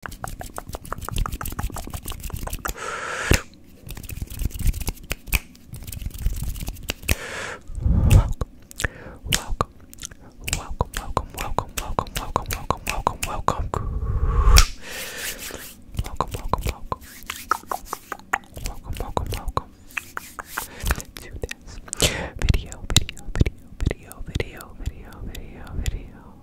Welcome, welcome, welcome, welcome, welcome, welcome, welcome, welcome, welcome, welcome. Welcome, welcome, welcome. Welcome, welcome, welcome. To this video, video, video, video, video, video, video, video.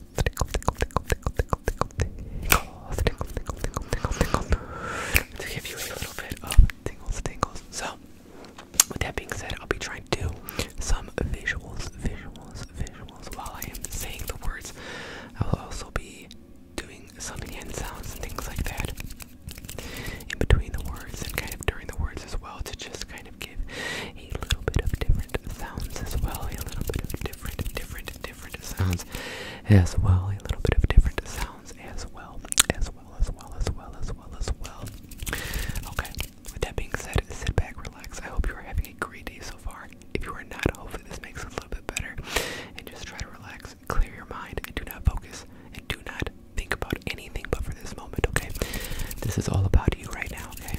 to give you a little bit of tingles, tingles. So, with that being said, I'll be trying to do some visuals, visuals, visuals while I am saying the words. I'll also be doing some hand sounds and things like that in between the words and kind of during the words as well to just kind of a little bit of different sounds as well, a little bit of different, different, different sounds as well, a little bit of different sounds as well, as well, as well, as well, as well, as well. Okay, with that being said, sit back, relax. I hope you are having a great day so far. If you are not, hopefully this makes a little bit better. And just try to relax, clear your mind, and do not focus, and do not think about anything but for this moment, okay? This is all about you right now, okay?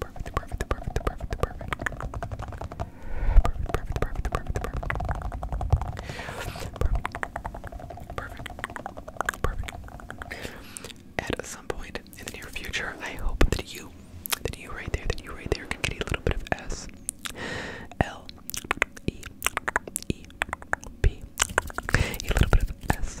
Perfect, perfect, perfect, perfect, perfect. Perfect, perfect, perfect, perfect, perfect. At some point in the near future, I hope that you, that you right there, that you right there can get a little bit of S, L, E, E, B, a little bit of S,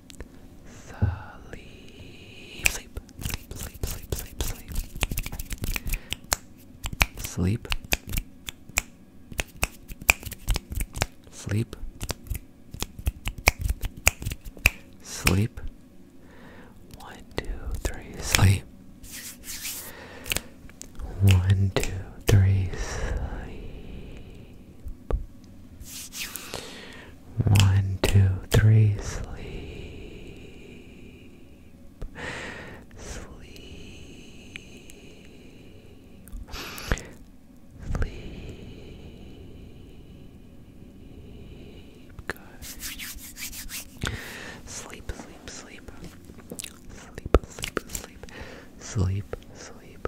Sleep, sleep, sleep, sleep, sleep, sleep, sleep. Sleep. Sleep. Sleep. One, two, three, sleep. One, two, three, sleep. One, two, three, sleep. Sleep. Sleep. Good. Sleep, sleep, sleep. Sleep, sleep, sleep. Sleep, sleep,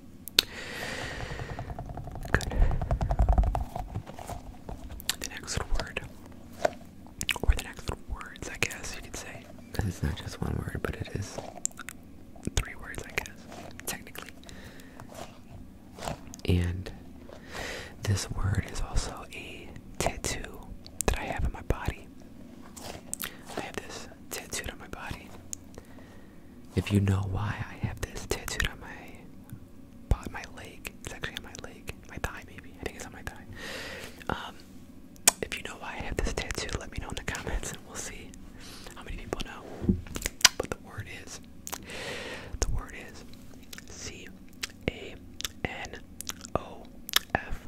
The next word, or the next words, I guess you could say. It's not just one word, but it is three words, I guess, technically. And this word is also a tattoo that I have on my body. I have this tattooed on my body. If you know why I have this tattoo on my, on my leg, it's actually on my leg, my thigh maybe, I think it's on my thigh. Um, if you know why I have this tattoo, let me know in the comments and we'll see how many people know. But the word is, the word is C A N O F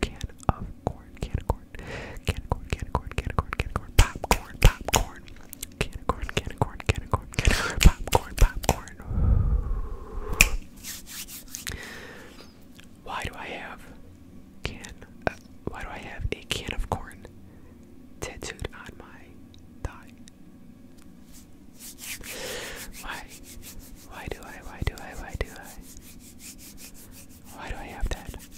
can of corn, can of corn, can of corn, can of corn, can of corn, can of corn, popcorn, popcorn, can of corn, can of corn, can of corn, popcorn, popcorn. Why do I have can? why do I have a can of corn tattooed on my thigh? Why? Why do I? Why do I? Why do I? Why do I have that?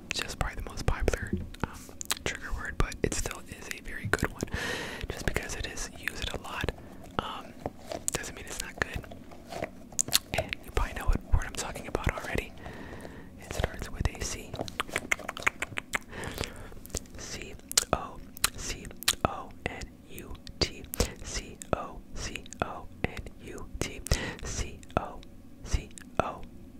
just probably the most popular um, trigger word, but it still is a very good one. Just because it is used a lot um, doesn't mean it's not good. you probably know what word I'm talking about already. It starts with a C. C O C O N U T C O C O N U T C O C O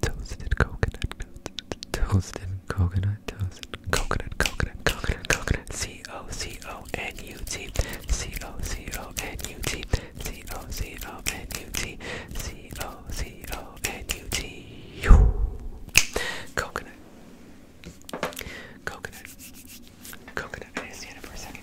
Toasted coconut, toasted coconut, toasted coconut, coconut, coconut, coconut, C O C O N U T, C O C O N U T, C O C O N U T, C O C O N U T, coconut, coconut, coconut. I stand it for a second.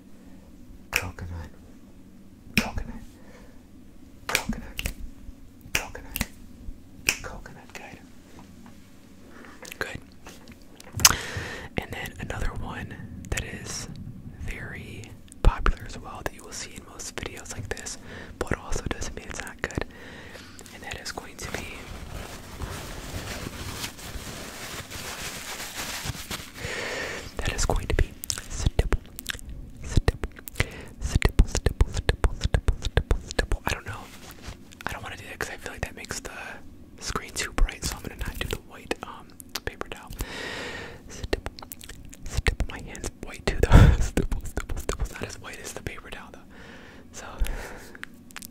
coconut, coconut, coconut, coconut, coconut guide. Good. And then another one that is very popular as well that you will see in most videos like this, but also doesn't mean it's not good. And that is going to be that is going to be stipple, stipple, stipple, stipple, stipple, stipple, stipple, stipple. I don't know. I don't want to do that because I feel like that makes the screen too bright, so I'm gonna not do the white um paper towel. Stipple, stipple. My hand's white too, though. stipple, stipple, stipple. It's not as white as the paper towel, though. So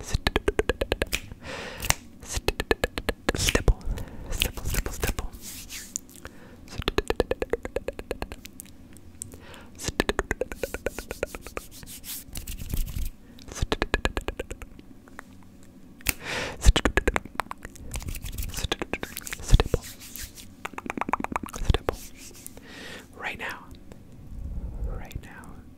Stipple, stipple, stipple, stipple. Stipple. Stipple. Right now. Right now.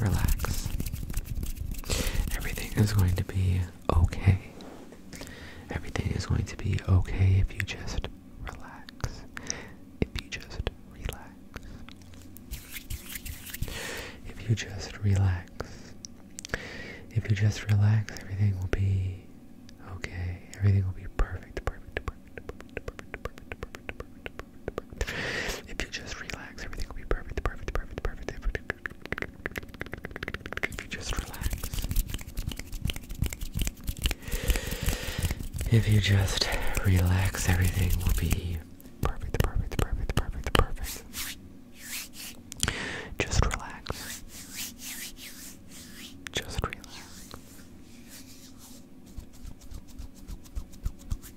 Relax. Everything is going to be okay. Everything is going to be okay if you just relax. If you just relax. If you just relax. If you just relax, everything will be okay. Everything will be perfect, perfect, perfect, perfect, perfect, perfect, perfect, perfect, perfect, perfect, perfect. If you just relax, everything will be perfect, perfect, perfect, perfect. If you just relax. If you just relax, everything will be perfect, perfect, perfect, perfect, perfect. Just relax. Just relax.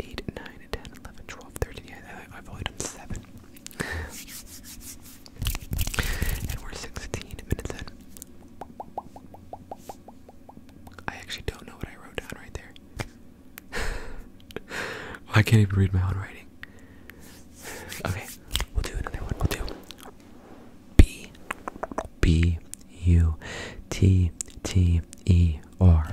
8, 9, Yeah, I've only done 7. and we're 16 minutes in. I actually don't know what I wrote down right there. I can't even read my own writing. Okay, we'll do another one. We'll do B B U T T E R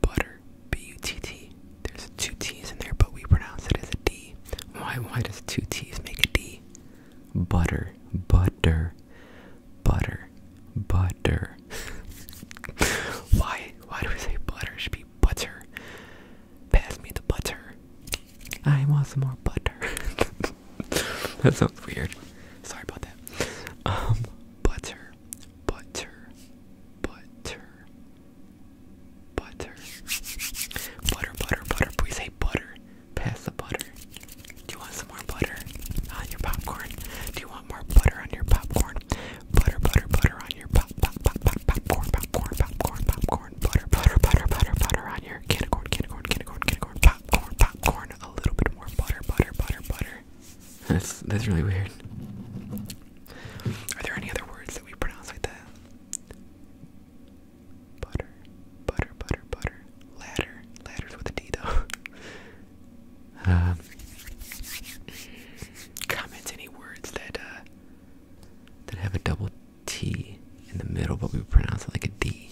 butter, B-U-T-T. There's two T's in there, but we pronounce it as a D. Why? Why does two T's make a D? Butter, butter, butter, butter. why? Why do we say butter? It should be butter. Pass me the butter. I want some more butter. that sounds weird. Sorry about that. Um, butter butter, butter, butter, butter, butter, butter, butter. Please say butter. Pass the butter. Do you want some more butter on your popcorn? Do you want more butter on your popcorn? Butter, butter, butter on your pop, pop, pop, pop, popcorn, popcorn, popcorn, popcorn. Butter, butter, butter, butter, butter on your candy corn, candy corn, candy corn, candy corn, popcorn, popcorn. A little bit more butter, butter, butter, butter. That's that's really weird. Are there any other words that we pronounce like that? Butter, butter, butter, butter. Ladder, ladders with a D though. Um, comment any words that uh, that have a double T in the middle, but we pronounce it like a D.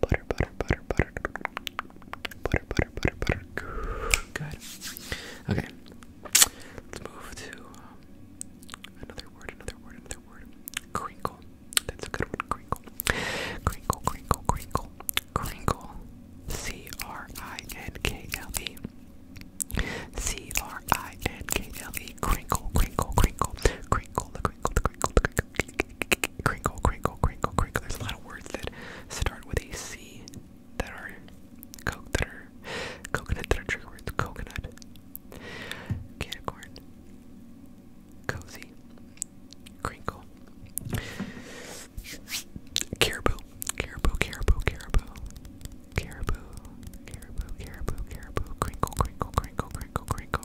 Butter, butter, butter, butter. Butter, butter, butter, butter. Good. Okay. Let's move to um, another word, another word, another word. Crinkle. That's a good one. Crinkle. Crinkle, crinkle, crinkle. Crinkle. C R I N K L E. C R I N K L E. Crinkle, crinkle, crinkle. crinkle crinkle, crinkle, crinkle, crinkle. There's a lot of words that start with a C that are coke that are coconut that are trigger words. Coconut, canicorn, cozy, crinkle, caribou, caribou, caribou, caribou, caribou, caribou, caribou, crinkle, crinkle, crinkle, crinkle, crinkle.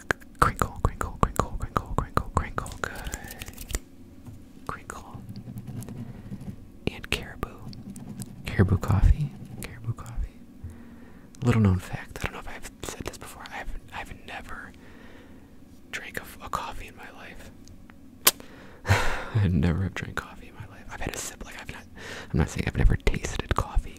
crinkle, crinkle, crinkle, crinkle, crinkle, crinkle, good. Crinkle. And caribou. Caribou coffee. Caribou coffee. Little known fact, I don't know if I've said this before, I've I've never drank a, a coffee in my life. I never have drank coffee in my life. I've had a sip, like I've not I'm not saying I've never tasted coffee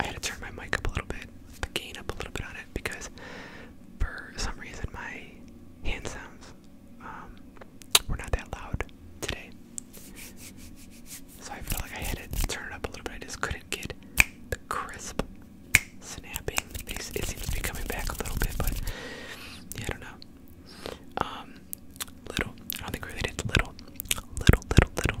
I had to turn my mic up a little bit, the gain up a little bit on it because for some reason my hand sounds um, were not that loud today. So I felt like I had to turn it up a little bit. I just couldn't get the crisp snapping. It seems to be coming back a little bit, but I don't know. Um, little. I don't think related to little. Little, little, little.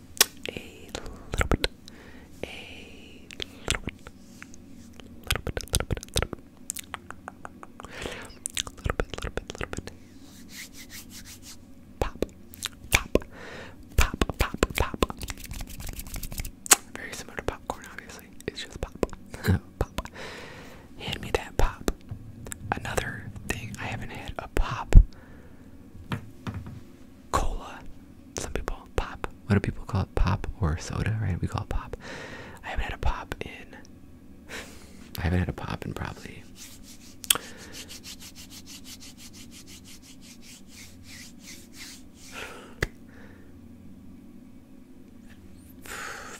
a little bit, a little bit, little bit, little bit, little bit, little bit, little bit, little bit, pop, pop, pop, pop, pop. Very similar to popcorn, obviously. It's just pop, pop. Hand me that pop. Another thing I haven't had a pop cola. Some people pop. What do people call it? Pop or soda, right? We call it pop. I haven't had a pop in. I haven't had a pop in probably.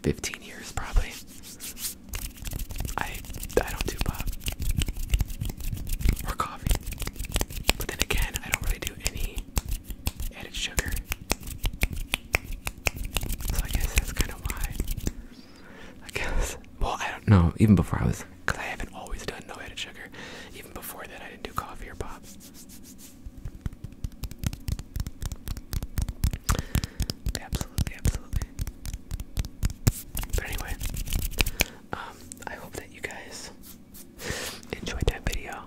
Fifteen years, probably. I I don't do pop or coffee. But then again, I don't really do any added sugar. So I guess that's kind of why. I guess. Well, I don't know. Even before I was. Because I haven't always done no added sugar. Even before that, I didn't do coffee or pop. Absolutely, absolutely. But anyway, um, I hope that you guys enjoyed that video.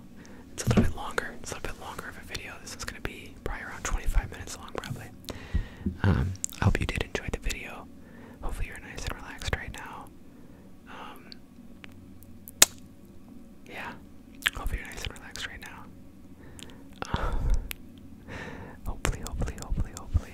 It's a little bit longer. It's a little bit longer of a video. This is going to be probably around 25 minutes long, probably. Um, I hope you did enjoy the video. Hopefully, you're nice and relaxed right now. Um, yeah. Hopefully, you're nice and relaxed right now. hopefully, hopefully, hopefully, hopefully.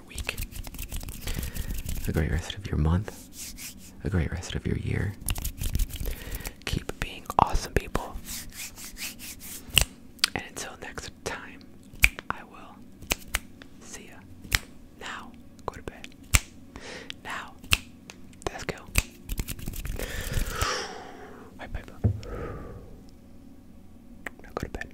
your week, a great rest of your month, a great rest of your year. Keep being awesome, people. And until next time, I will see ya. Now, go to bed. Now, let's go. Bye, bye, Now go to bed.